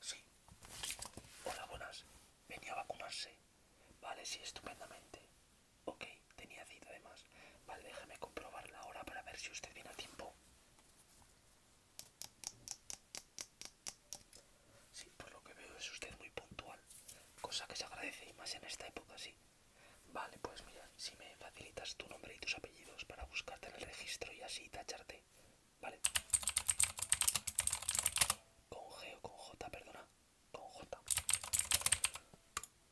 Sí. Hola, buenas. Venía a vacunarse. Vale, sí, estupendamente. Ok, tenía cita además. Vale, déjame comprobarla ahora para ver si usted viene a tiempo. Sí, por lo que veo es usted muy puntual, cosa que se agradece y más en esta época, sí. Vale, pues mira, si me facilitas tu nombre y tus apellidos para buscarte en el registro y así tacharte. Vale. Con G o con J, perdona con J.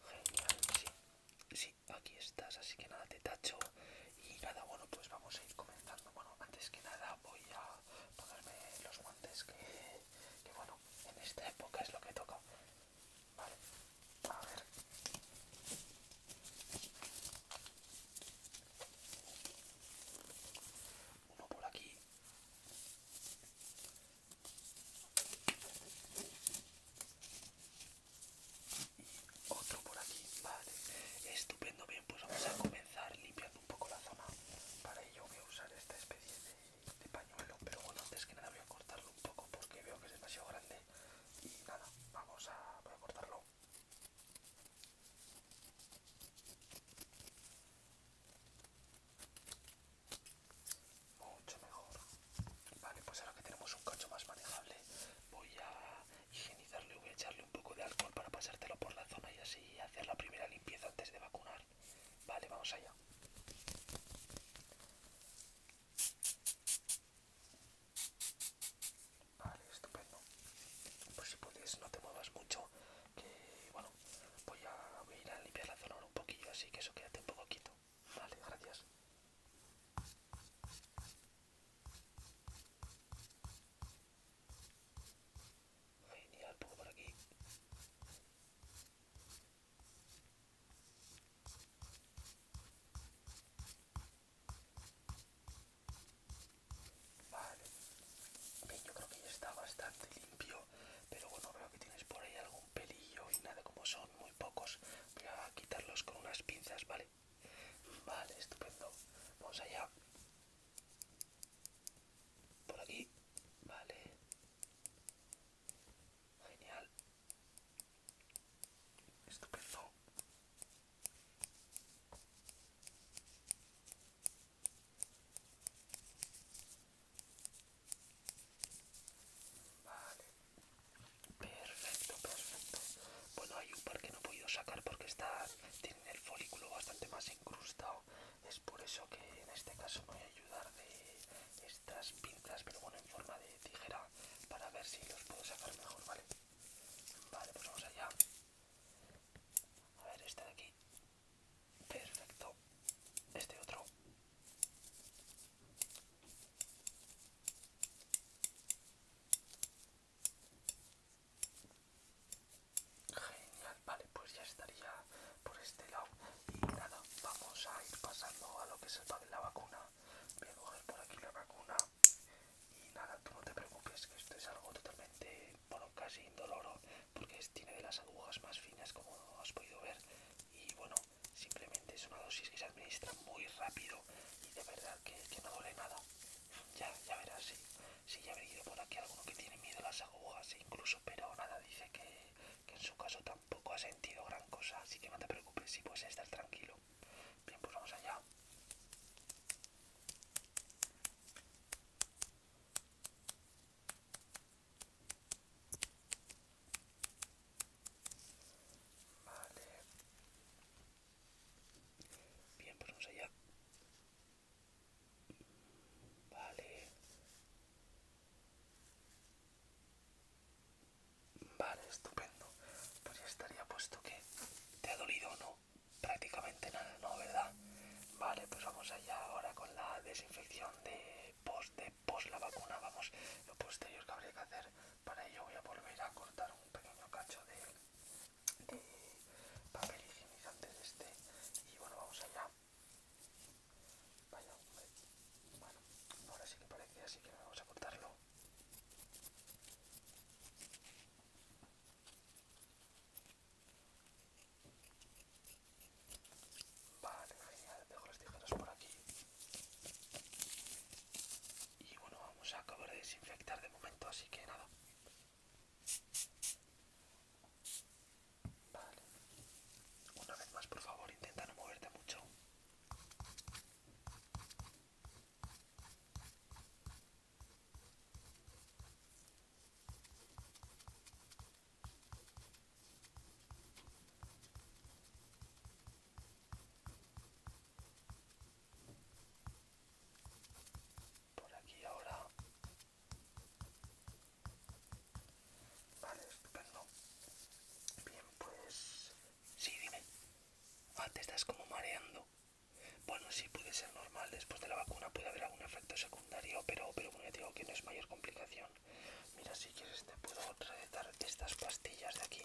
Genial, sí. Sí, aquí estás, así que nada, te tacho. Y nada, bueno, pues vamos a ir comenzando. Bueno, antes que nada voy a ponerme los guantes que, que bueno, en esta época es lo que toca. Vale, a ver. Uno por aquí y Otro por aquí, vale. Estupendo, bien, pues vamos a comenzar limpiando un poco la zona. Para ello voy a usar esta especie de, pañuelo, pero bueno, antes que nada voy a cortarlo un poco porque veo que es demasiado grande. Y nada, vamos a, a cortarlo. Mucho mejor. Vale, pues ahora que tenemos un cacho más manejable, voy a higienizarle voy a echarle un poco de alcohol para pasártelo por la zona y así hacer la primera limpieza antes de vacunar. Vale, vamos allá. Vale, estupendo. Pues si puedes, no te muevas mucho que bueno voy a, ir a limpiar la zona un poquillo así que eso quédate un poquito. vale gracias genial poco por aquí Vale. Bien, yo creo que ya está bastante limpio, pero bueno, veo que tienes por ahí algún pelillo y nada, como son muy pocos, voy a quitarlos con unas pinzas, ¿vale? Vale, estupendo. Vamos allá. Por aquí. Vale. Genial. Estupendo. Perfecto, perfecto. Bueno, hay un par que no he podido sacar porque está, tienen el folículo bastante más incrustado. Es por eso que en este caso voy a ayudar de estas pinzas, pero bueno, en forma de tijera, para ver si los puedo sacar mejor, ¿vale? Vale, pues vamos allá. A ver, este de aquí. Perfecto. Este otro. Genial, vale, pues ya estaría por este lado. Y nada, vamos a ir pasando a lo que es el de la vacuna. Voy a coger por aquí la vacuna. Y nada, tú no te preocupes, que esto es algo totalmente, bueno, casi indoloro, porque tiene de las agujas más finas, como has podido ver. Y bueno, simplemente es una dosis que se administra muy rápido y de verdad que, no duele nada. Ya, ya verás, si ya he venido por aquí alguno que tiene miedo a las agujas, E incluso, pero nada, dice que, que en su caso tampoco ha sentido gran cosa, así que no te preocupes, si puedes estar tranquilo. Bien, pues vamos allá. Vale. Bien, pues vamos allá. Vale. Vale, estupendo. Pues ya estaría puesto que te ha dolido o no prácticamente nada, ¿no? ¿Verdad? Vale, pues vamos allá ahora con la desinfección de post, de post la vacuna. Vamos, lo posterior que habría que hacer para ello voy a volver a cortar un pequeño cacho de, papel higiénico de este. Y bueno, vamos allá. Vaya, Bueno, ahora sí que parece, así que vamos a cortarlo. Vale, genial, dejo los tijeras por aquí. Y bueno, vamos a acabar de desinfectar de momento, así que nada. Vale. Una vez más, por favor, intenta no moverte mucho por aquí ahora vale estupendo bien pues Sí, dime. Ah, te estás como mareando. Bueno, sí, puede ser normal. Después de la vacuna puede haber algún efecto secundario, pero, pero bueno, digo que no es mayor complicación. Mira, si quieres te puedo recetar estas pastillas de aquí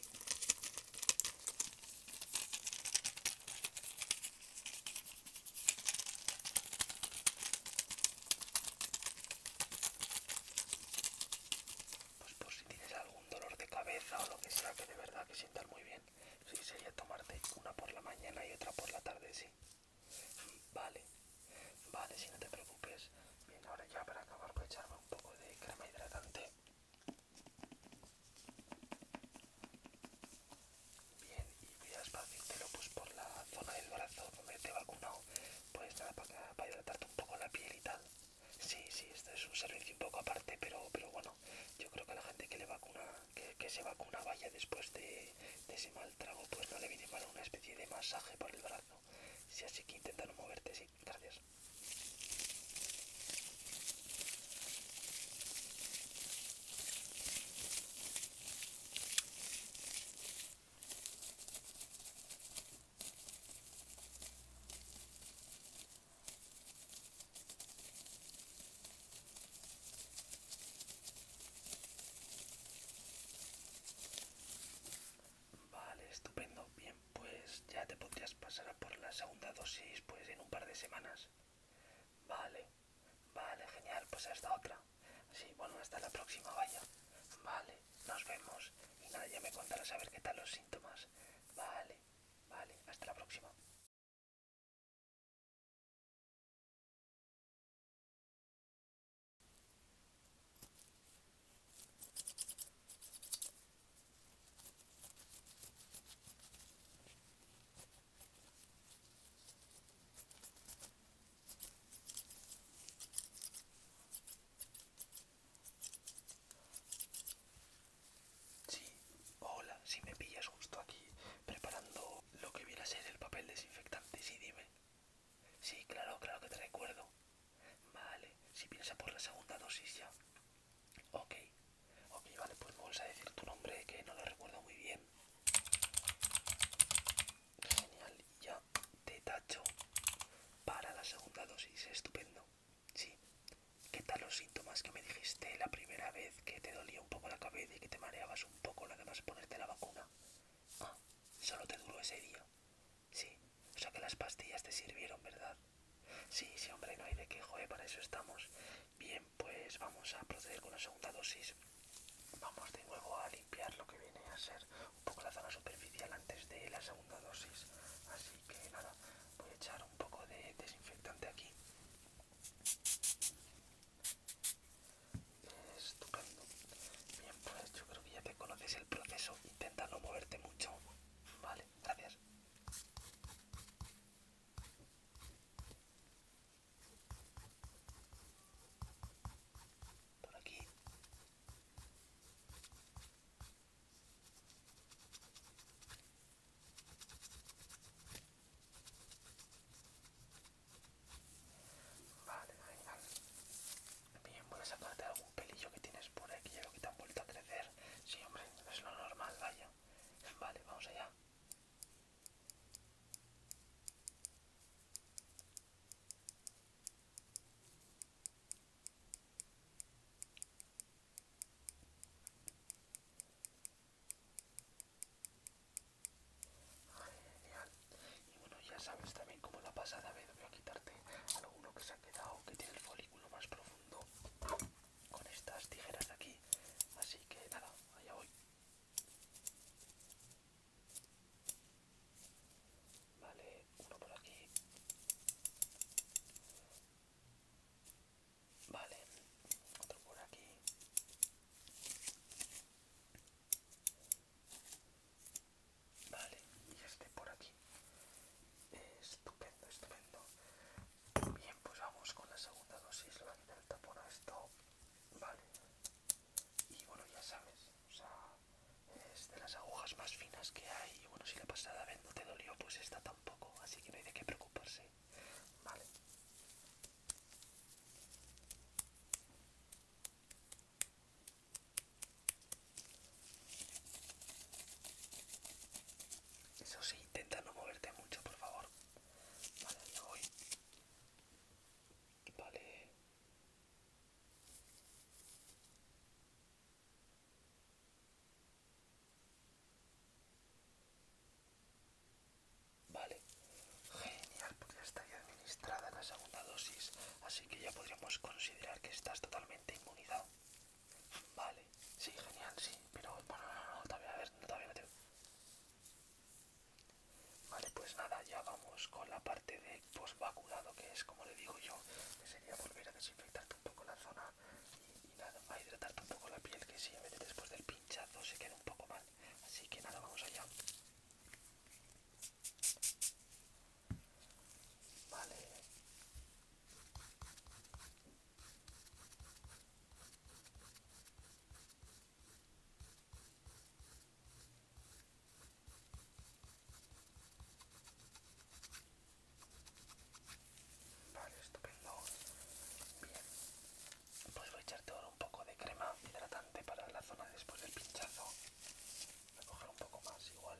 pues por si tienes algún dolor de cabeza o lo que sea que de verdad que sientas muy bien sí sería tomarte una por la mañana y otra por la tarde sí vale vale si no te preocupes bien ahora ya para acabar voy a echarme un poco de crema hidratante bien y voy a lo pues por la zona del brazo donde te vacunado pues nada para hidratarte un poco la piel y tal Sí, sí, esto es un servicio un poco aparte, pero, bueno, yo creo que la gente que, le vacuna, que, se vacuna vaya después de, ese mal trago, pues no le viene mal una especie de masaje por el brazo. Si así que intenta no moverte, sí, gracias. Vale, estupendo. Bien, pues ya te podrías pasar a por la segunda dosis pues en un par de semanas. Vale, vale, genial. Pues hasta otra. Sí, bueno, hasta la próxima, vaya. Vale nos vemos y nadie me contará saber qué tal los síntomas. Vale, vale, hasta la próxima. Sí, hola, si me pillas justo aquí preparando lo que viene a ser el papel desinfectante, sí, dime. Sí, claro, claro que te recuerdo. Vale, si piensas por la segunda dosis ya. Ok, ok, vale, pues me a decir tu nombre que no lo recuerdo muy bien. Genial, ya te tacho para la segunda dosis. Estupendo. Sí. ¿Qué tal los síntomas que me dijiste la primera vez que te dolía un poco la cabeza y que te mareabas un poco nada más ponerte la vacuna? Ah, solo te duró ese día. Sí. O sea que las pastillas te sirvieron, ¿verdad? Sí, sí, hombre, no hay de qué, joder, para eso estamos. Bien, pues vamos a proceder con la segunda dosis. Vamos de nuevo a lo que viene a ser un poco la zona superficial antes de la segunda dosis. Así que nada, voy a echar un poco de desinfectante aquí. Estupendo. Bien, pues yo creo que ya te conoces el proceso. Intenta no moverte mucho. Vale, gracias. Por aquí. Vale, venga. Bien, voy a sacarte algún pelillo que tienes por aquí, o que te han vuelto a crecer. Sí, hombre, es lo normal, vaya. Vale, vamos allá. Y bueno, ya sabes también como la pasada vez voy a quitarte alguno que se ha quedado, que tiene el folículo más profundo con estas tijeras de aquí. Así que nada, allá voy. Vale, uno por aquí. Vale, otro por aquí. Vale, y este por aquí. Estupendo, estupendo. Bien, pues vamos con la segunda dosis. Le voy a quitar tapón esto. Vale y bueno ya sabes o sea es de las agujas más finas que hay y bueno si la pasada vez no te dolió pues esta tampoco así que no hay de qué preocuparse vale eso sí intenta no moverte mucho por favor vale voy vale Vale, genial, porque ya está ya administrada la segunda dosis, así que ya podríamos considerar que estás totalmente inmunizado. Vale, sí, genial, sí, pero bueno, no, no, no, todavía, a ver, todavía no Vale, pues nada, ya vamos con la parte de post-vacunado, que es como le digo yo, que sería volver a desinfectar un poco la zona y, nada, a hidratar un poco la piel, que a veces después del pinchazo se queda un poco mal. Así que nada, vamos allá. Vale. Vale, estupendo. Bien. Pues a echarte ahora un poco de crema hidratante para la zona después del pinchazo. Voy a coger un poco más igual.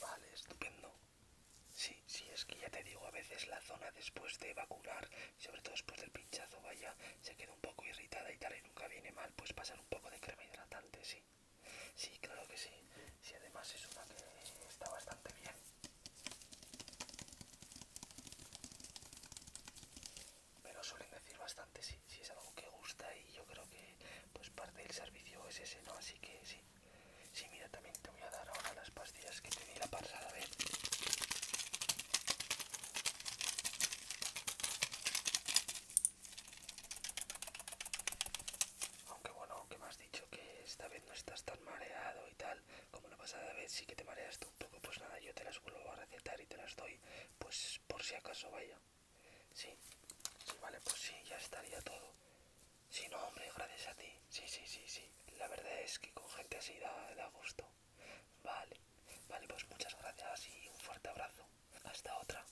Vale, estupendo. Sí, sí, es que ya te digo, a veces la zona después de vacunar, sobre todo después del pinchazo, vaya, se queda un poco irritada y tal, y nunca viene mal, pues pasar un poco de crema hidratante, sí sí. creo claro que sí. Si además es una que está bastante bien. lo suelen decir bastante, si si es algo que gusta y yo creo que pues parte del servicio es ese, ¿no? Así que sí. Sí, mira, también te voy a dar ahora las pastillas que tenía para pasada aunque bueno, que me has dicho que esta vez no estás tan mareado y tal, como la pasada vez sí que te mareas tú un poco, pues nada, yo te las vuelvo a recetar y te las doy, pues por si acaso vaya. Sí, vale, pues sí, ya estaría todo. Sí, no, hombre, gracias a ti. Sí, sí, sí, sí. La verdad es que con gente así da, da gusto. Vale, vale, pues muchas gracias y un fuerte abrazo. Hasta otra.